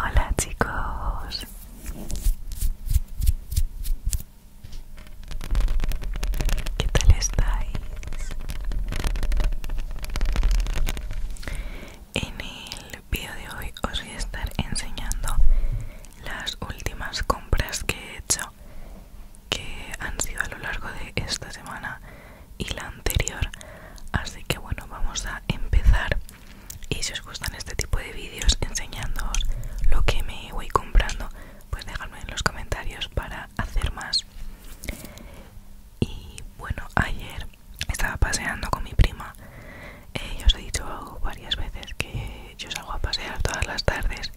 Hola chicos. ¿Qué tal estáis? En el vídeo de hoy os voy a estar enseñando las últimas compras que he hecho que han sido a lo largo de esta semana y la anterior así que bueno vamos a empezar y si os gustan este tipo de vídeos enseñándoos lo que me voy comprando pues dejadme en los comentarios para hacer más y bueno ayer estaba paseando con mi prima eh, yo os he dicho varias veces que yo salgo a pasear todas las tardes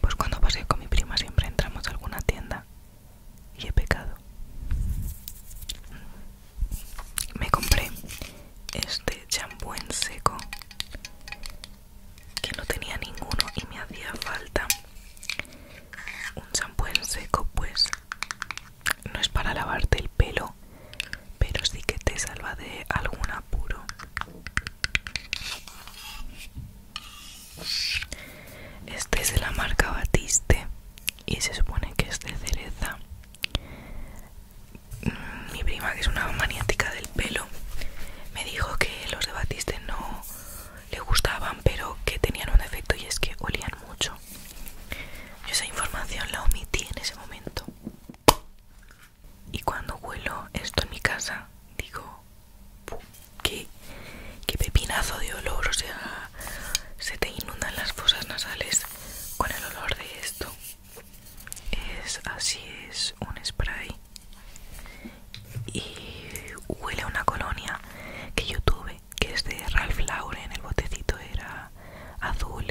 pues cuando pasé con mi prima siempre entramos a alguna tienda y he pecado. Me compré este champú en seco que no tenía ninguno y me hacía falta un champú en seco pues no es para lavarte el pelo pero sí que te salva de algún apuro este es de la marca Batiste y se supone que es de cereza. Mm, mi prima, que es una maniática del pelo, me dijo que los de Batiste no le gustaban, pero que tenían un efecto y es que olían mucho. Yo esa información la omití en ese momento. Y cuando huelo esto en mi casa, digo, qué, pepinazo de olor, o sea, se te inundan las fosas nasales con el olor de esto. Es así, es un spray y huele a una colonia que yo tuve, que es de Ralph Lauren, el botecito era azul.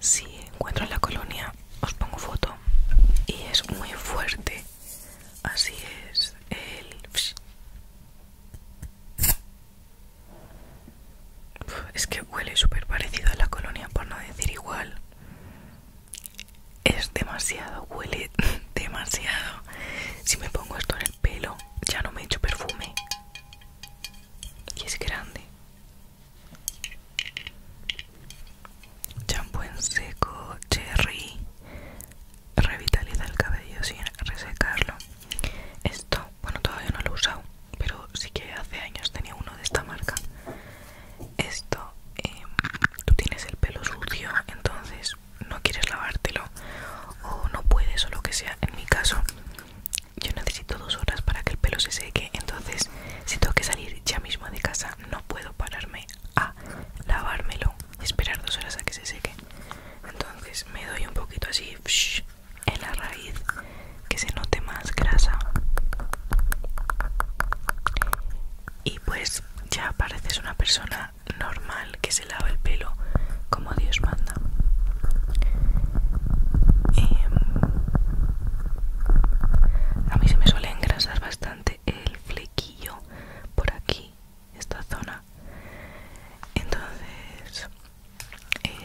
Si encuentro la colonia os pongo foto y es muy fuerte Así es, el... Es que huele súper parecido a la colonia, por no decir igual. Es demasiado, huele demasiado. Si me pongo esto en el pelo, ya no me echo perfume. Y es grande champú en seco cherry revitaliza el cabello sin resecarlo esto bueno todavía no lo he usado pero sí que hace años tenía uno de esta marca esto em, tú tienes el pelo sucio entonces no quieres lavártelo o no puedes o lo que sea en mi caso yo necesito dos horas para que el pelo se seque entonces si tengo que salir ya mismo de casa no puedo pararme a lavármelo y esperar dos horas a que se seque. Entonces me doy un poquito así en la raíz que se note más grasa. Y pues ya pareces una persona normal que se lava el pelo como Dios manda. Em, a mí se me suele engrasar bastante el flequillo por aquí esta zona entonces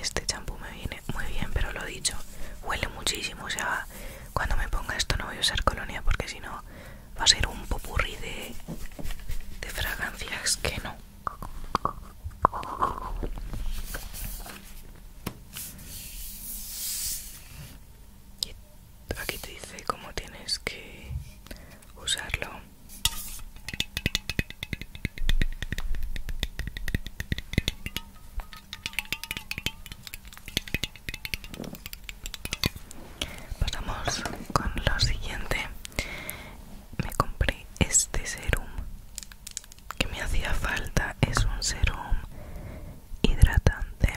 este champú me viene muy bien pero lo dicho huele muchísimo o sea cuando me ponga esto no voy a usar colonia porque si no va a ser un popurrí de, de fragancias que no aquí te dice cómo tienes que usarlo pasamos con lo siguiente me compré este serum que me hacía falta es un serum hidratante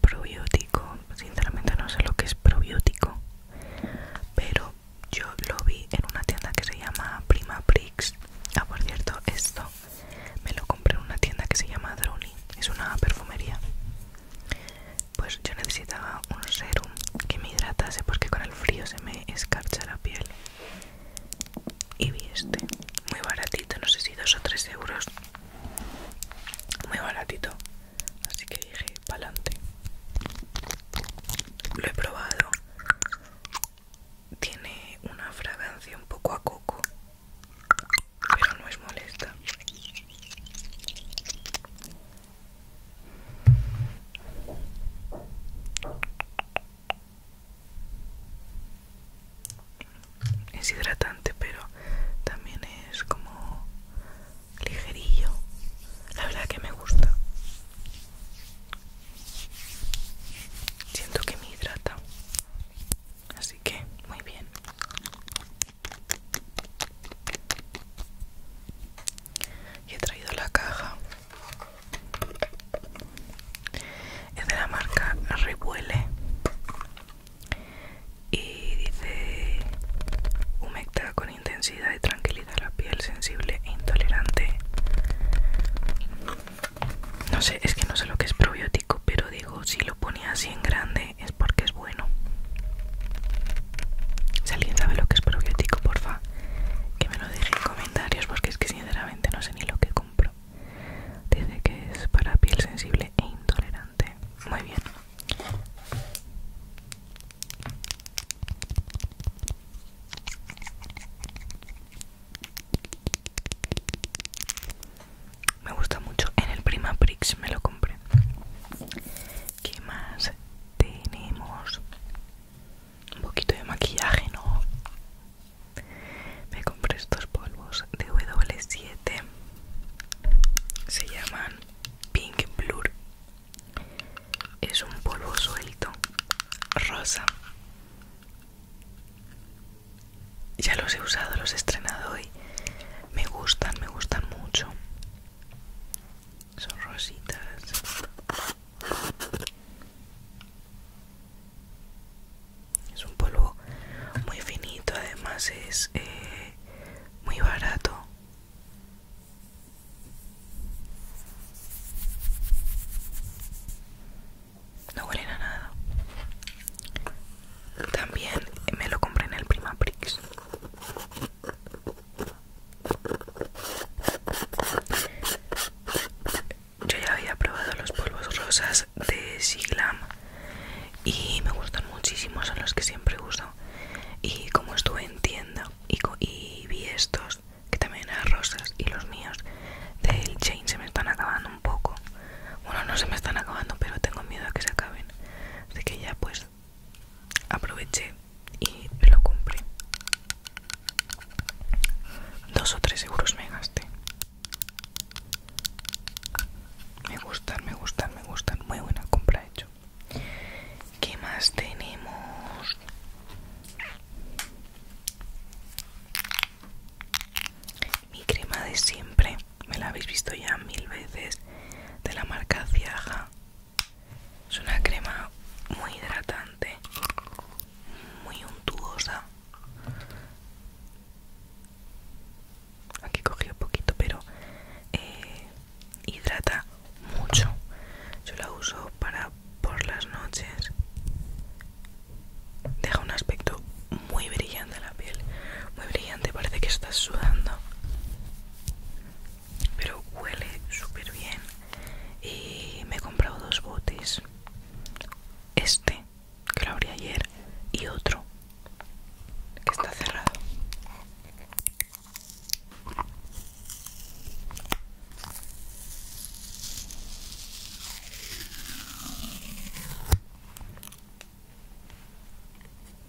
probiótico sinceramente no sé lo que es probiótico pero yo lo vi en una tienda que se llama Prima Prix ah por cierto esto me lo compré en una tienda que se llama Droni es una perfumería pues yo necesitaba un serum que me hidratase porque con el frío se me escarcha la piel y vi este muy baratito no sé si 2 o 3 euros muy baratito así que dije pa'lante lo he probado tiene una fragancia un poco a coco pero no es molesta es hidratante pero también es como ligerillo la verdad que me gusta siento que me hidrata así que muy bien y he traído la caja es de la marca Revuele y dice humecta con intensidad y tranquilidad la piel sensible e intolerante no sé es que no sé lo que es probiótico pero digo si lo ponía así en grande es porque es bueno si alguien sabe lo que es probiótico porfa que me lo deje en comentarios porque es que sinceramente no sé ni lo que compro dice que es para piel sensible e intolerante muy bien. Me gusta mucho. En el Prima Prix me lo compré. ¿Qué más tenemos? Un poquito de maquillaje, ¿no? Me compré estos polvos de W7 se llaman Pink Blur. Es un polvo suelto, rosa. Ya los he usado, los he estrenado hoy. Me gustan, me gustan mucho. Son rositas. Es un polvo muy finito, además es eh, muy barato no huelen a nada también me lo compré en el Prima Prix yo ya había probado los polvos rosas de Siglam y me gustan muchísimo, son los que siempre uso. Y como estuve en tienda y, vi estos, que también eran rosas, y los míos del Chain se me están acabando un poco. Bueno, no se me están acabando, pero tengo miedo a que se acaben. Así que ya pues aproveché y lo compré. Dos o tres euros me gasté. Me gustan, me gustan, me gustan. Muy buena compra hecho. ¿Qué más tenemos? Mi crema de siempre. Me la habéis visto ya mil veces. De la marca Ciaja. Es una crema muy hidratante. Muy untuosa. Aquí cogí un poquito, pero eh, hidrata mucho. Yo la uso para por las noches. Deja un aspecto muy brillante en la piel. Muy brillante, parece que estás sudando. Pero huele súper bien. Y me he comprado dos botes. Este, que lo abrí ayer, y otro que está cerrado.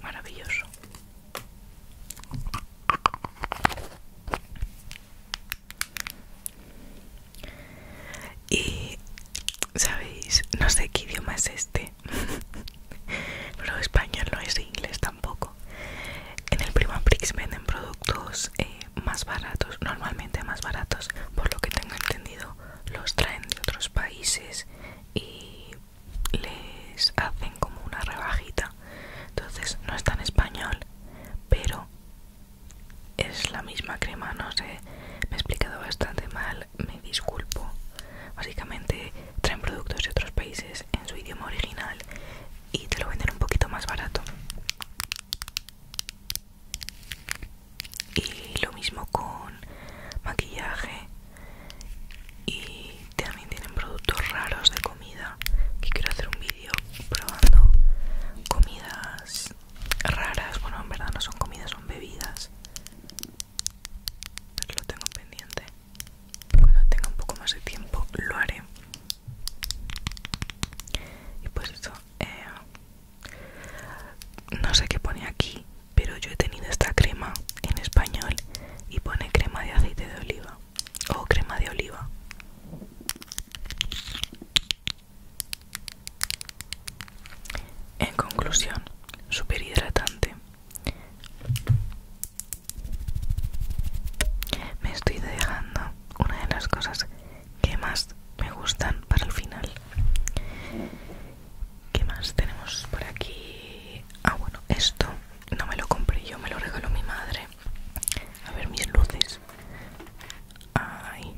Maravilloso. Y sabéis, no sé qué idioma es este, pero español no es inglés tampoco. En el Prima venden productos eh, más baratos, normalmente más baratos, por lo que tengo entendido, los traen de otros países y les hacen como una rebajita. Entonces no está en español, pero es la misma crema, no sé, me he explicado bastante mal me disculpo. Básicamente traen productos de otros países en su idioma original y te lo venden un poquito más barato. Y lo mismo con maquillaje. Y también tienen productos raros de comida. Que quiero hacer un vídeo probando comidas raras. Bueno, en verdad no son comidas, son bebidas lo tengo pendiente. Cuando tenga un poco más de tiempo lo haré. Y pues esto eh, no sé qué pone aquí, pero yo he tenido esta crema en español y pone crema de aceite de oliva o crema de oliva. En conclusión, super hidratante, me estoy dejando una de las cosas que más me gustan para el final. ¿Qué más tenemos por aquí? Ah, bueno, esto no me lo compré yo, me lo regaló mi madre. A ver mis luces. Ay,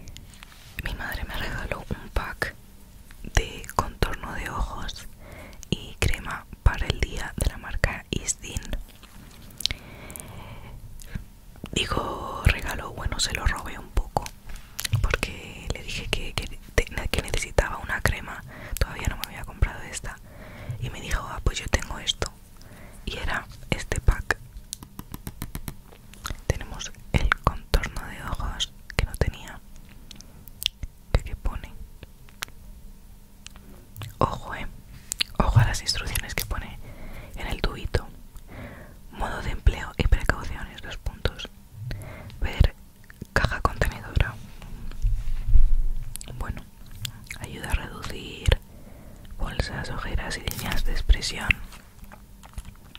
mi madre me regaló un pack de contorno de ojos y crema para el día de la marca Isdin. Digo regalo, bueno, se lo robé un poco porque le dije que, que necesitaba una crema, todavía no me había comprado esta y me dijo, ah, pues yo tengo esto y era este pack. Tenemos el contorno de ojos que no tenía ¿Qué, pone? Ojo, eh. Ojo a las instrucciones que pone en el tubito. Modo de empleo y precauciones, dos puntos. Ver caja contenedora. Bueno, ayuda a reducir bolsas, ojeras y líneas de expresión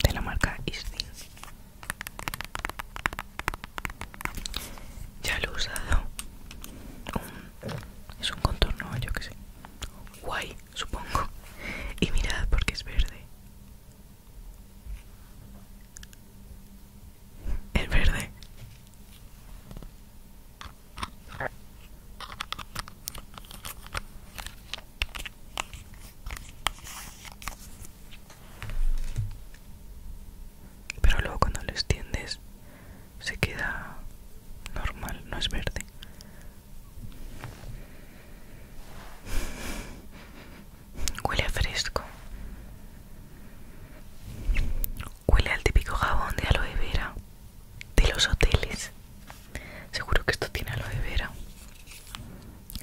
de la marca ISTIN. Ya lo he usado. es un contorno, yo que sé. Guay, supongo. Y mirad porque es verde. Es verde. Pero luego cuando lo extiendes se queda normal, no es verde. Huele fresco. Huele al típico jabón de aloe vera de los hoteles. Seguro que esto tiene aloe vera.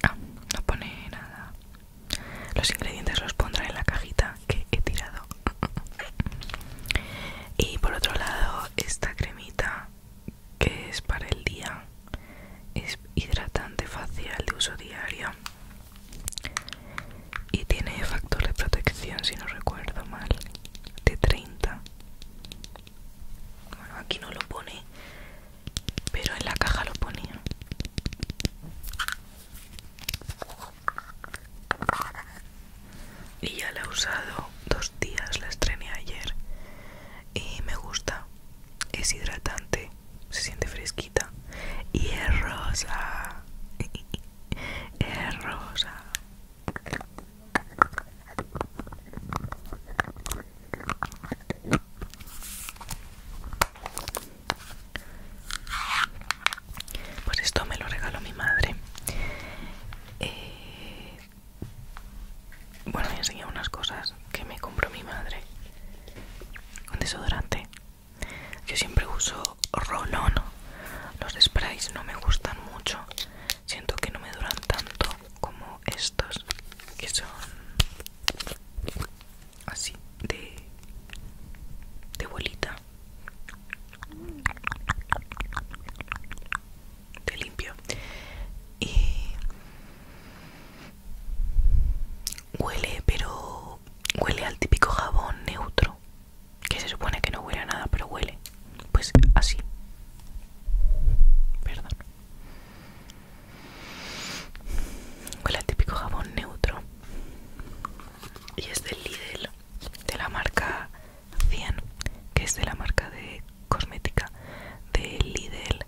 Ah, no pone nada los ingredientes los pondré en la cajita que he tirado. y por otro lado, esta cremita que es para el día. Es hidratante facial de uso diario. Y tiene factor de protección, si no recuerdo mal, de 30. Bueno, aquí no lo pone, pero en la caja lo ponía y ya la he usado dos días, la estrené ayer y me gusta, es hidratante, se siente fresquita y es rosa, es rosa. Pues esto me lo regaló mi madre. Eh, bueno, me enseñó unas cosas que me compró mi madre. Un desodorante. Yo siempre uso rolón. Los sprays no me gustan mucho. Siento que no me duran tanto como estos que son así de de bolita de limpio y huele pero huele al típico jabón neutro que se supone que no huele a nada pero huele pues así perdón Huele el típico jabón neutro. Y es del Lidl, de la marca 100, que es de la marca de cosmética de Lidl.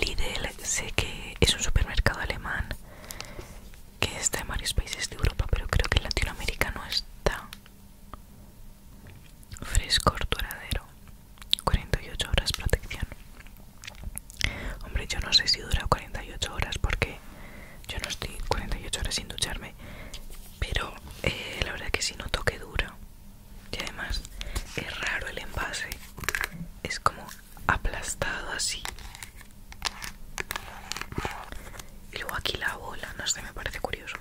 Lidl sé que es un supermercado alemán que está en varios países de Europa, pero creo que en Latinoamérica no está. Fresco, duradero. 48 horas protección. Hombre, yo no sé si dura 48 horas porque yo no estoy 48 horas sin ducharme, pero eh, la verdad que si noto que dura. Y además es raro el envase, es como aplastado así. Y luego aquí la bola, no sé, me parece curioso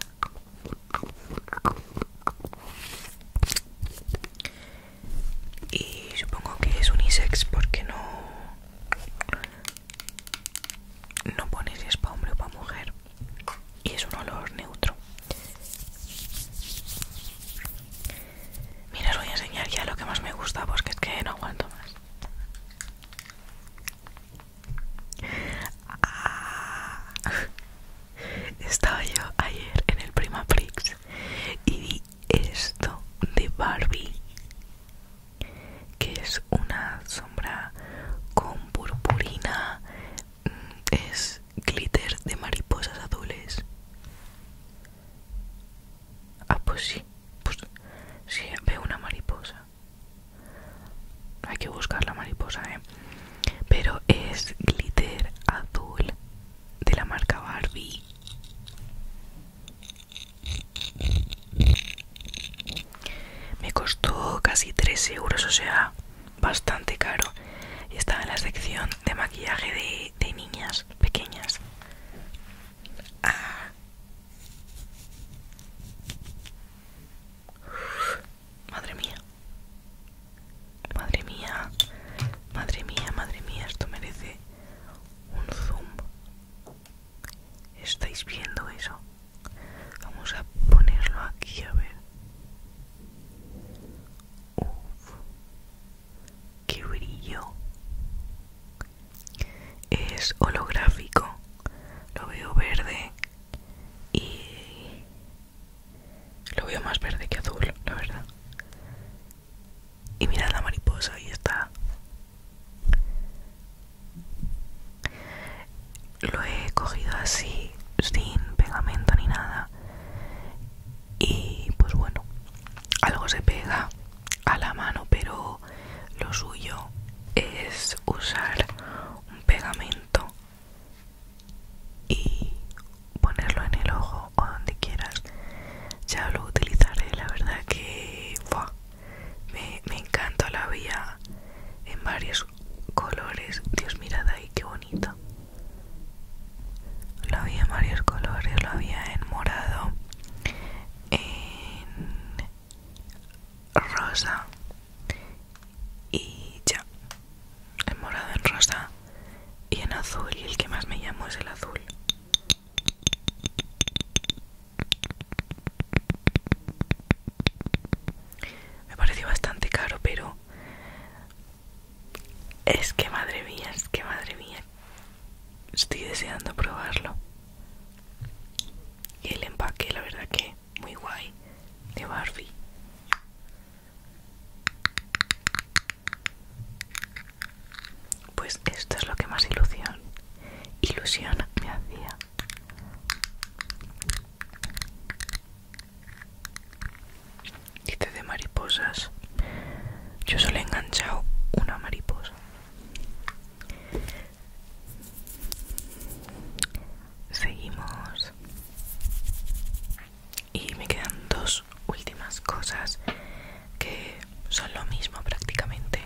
y supongo que es unisex porque no no pone si es para hombre o para mujer y es un olor neutro mira os voy a enseñar ya lo que más me gusta porque es que no aguanto más ah. estaba yo ayer en el Prima y vi esto de Barbie que es una sombra con purpurina mm, es glitter de mariposas azules ah pues sí pues veo una mariposa hay que buscar la mariposa eh pero es glitter azul de la marca Barbie me costó casi 3 euros, o sea, bastante caro. Y estaba en la sección de maquillaje de, niñas pequeñas. Ah. Madre mía. Madre mía, madre mía, madre mía, esto merece un zoom. ¿Estáis viendo eso? Vamos a ponerlo aquí a ver. Uf, qué brillo. Es holográfico. Lo veo verde y lo veo más verde que azul, la verdad y mirad la mariposa, ahí está. Lo he cogido así, sin pegamento ni nada. Y pues bueno, algo se pega a la mano, pero lo suyo es usar un pegamento y ponerlo en el ojo o donde quieras. Ya lo utilizaré, la verdad que me, encantó encanta la en varios colores. Dios, mirad ahí, qué bonito. Lo había en varios colores, lo había en morado, en rosa y ya. En morado, en rosa y en azul y el que más me llamó es el azul me pareció bastante caro pero es que madre mía es que madre mía estoy deseando probarlo y el empaque la verdad que muy guay de Barbie pues esto es lo que más ilusión, ilusión me hacía. Dice de mariposas. Yo solo he enganchado una mariposa. Seguimos. Y me quedan dos últimas cosas que son lo mismo prácticamente.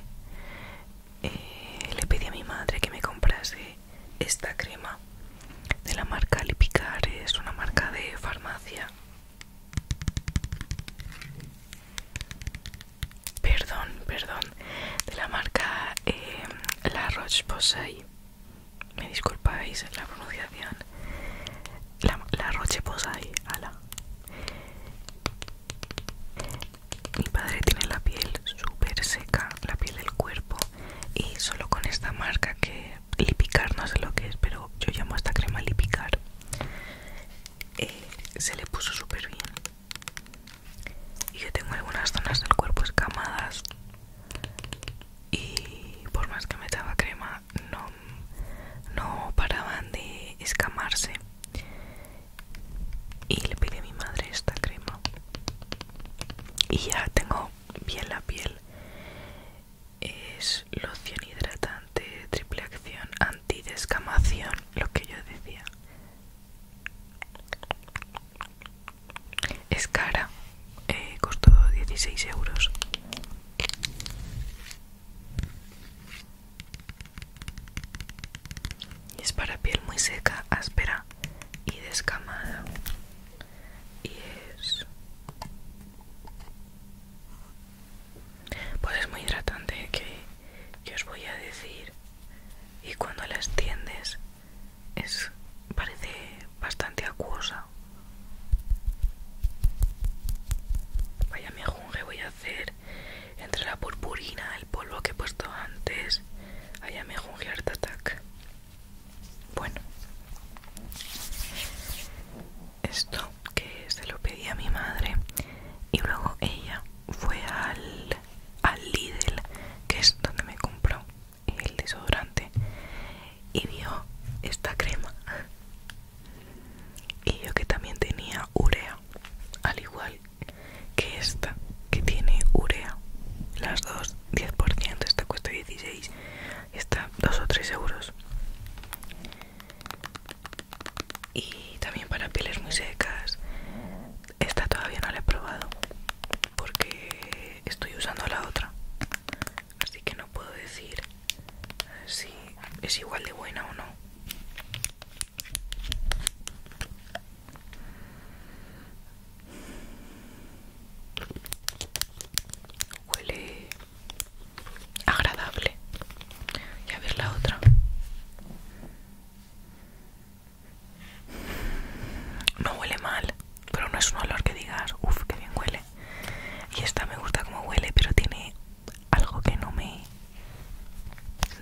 Eh, le pedí a mi madre que me comprase esta crema de la marca Lipicar, es una marca de farmacia. Perdón, perdón, de la marca eh, La Roche-Posay. Me disculpáis la pronunciación la, Roche Posay, ala. Mi padre tiene la piel súper seca, la piel del cuerpo, y solo con esta marca que Lipicar, no sé lo que es, pero yo llamo esta crema Lipicar, eh, se le puso súper bien. Y yo tengo algunas zonas del cuerpo escamadas, y por más que me daba crema, no, no paraban de escamarse y le pide a mi madre esta crema y ya tengo bien la piel es loción hidratante triple acción antidescamación lo que yo decía es cara eh, costó 16 euros es para piel muy seca, áspera y descamada. Y es... Pues es muy hidratante ¿eh? que, os voy a decir. Y cuando la extiendes parece bastante acuosa Vaya mejunje voy a hacer entre la purpurina, el polvo que he puesto antes. Vaya mejunje Art Attack. Bueno, esto que se lo pedí a mi madre y luego ella fue al, al Lidl, que es donde me compró el desodorante, y vio esta crema y yo que también tenía urea al igual que esta que tiene urea las dos 10% esta cuesta 16 esta 2 o 3 euros y también para pieles muy secas esta todavía no la he probado porque estoy usando la otra así que no puedo decir eh, si es igual de buena o no. Huele agradable. Y a ver la otra. No huele mal, pero no es un olor que digas, uff, que bien huele. Y esta me gusta como huele, pero tiene algo que no me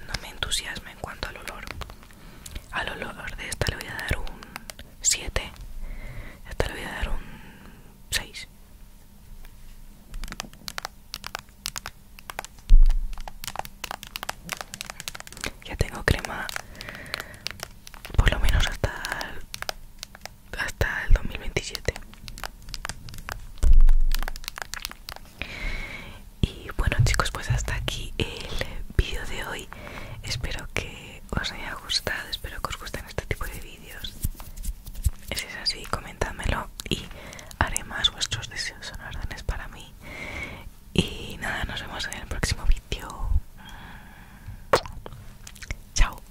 no me entusiasma en cuanto al olor al olor de esta le voy a dar un 7 esta le voy a dar un 6 ya tengo crema por lo menos hasta hasta el 2027 y bueno chicos pues hasta aquí el vídeo de hoy espero que os haya gustado espero que os gusten este tipo de vídeos si es así comentadmelo y haré más vuestros deseos son órdenes para mí y nada nos vemos en el próximo vídeo chao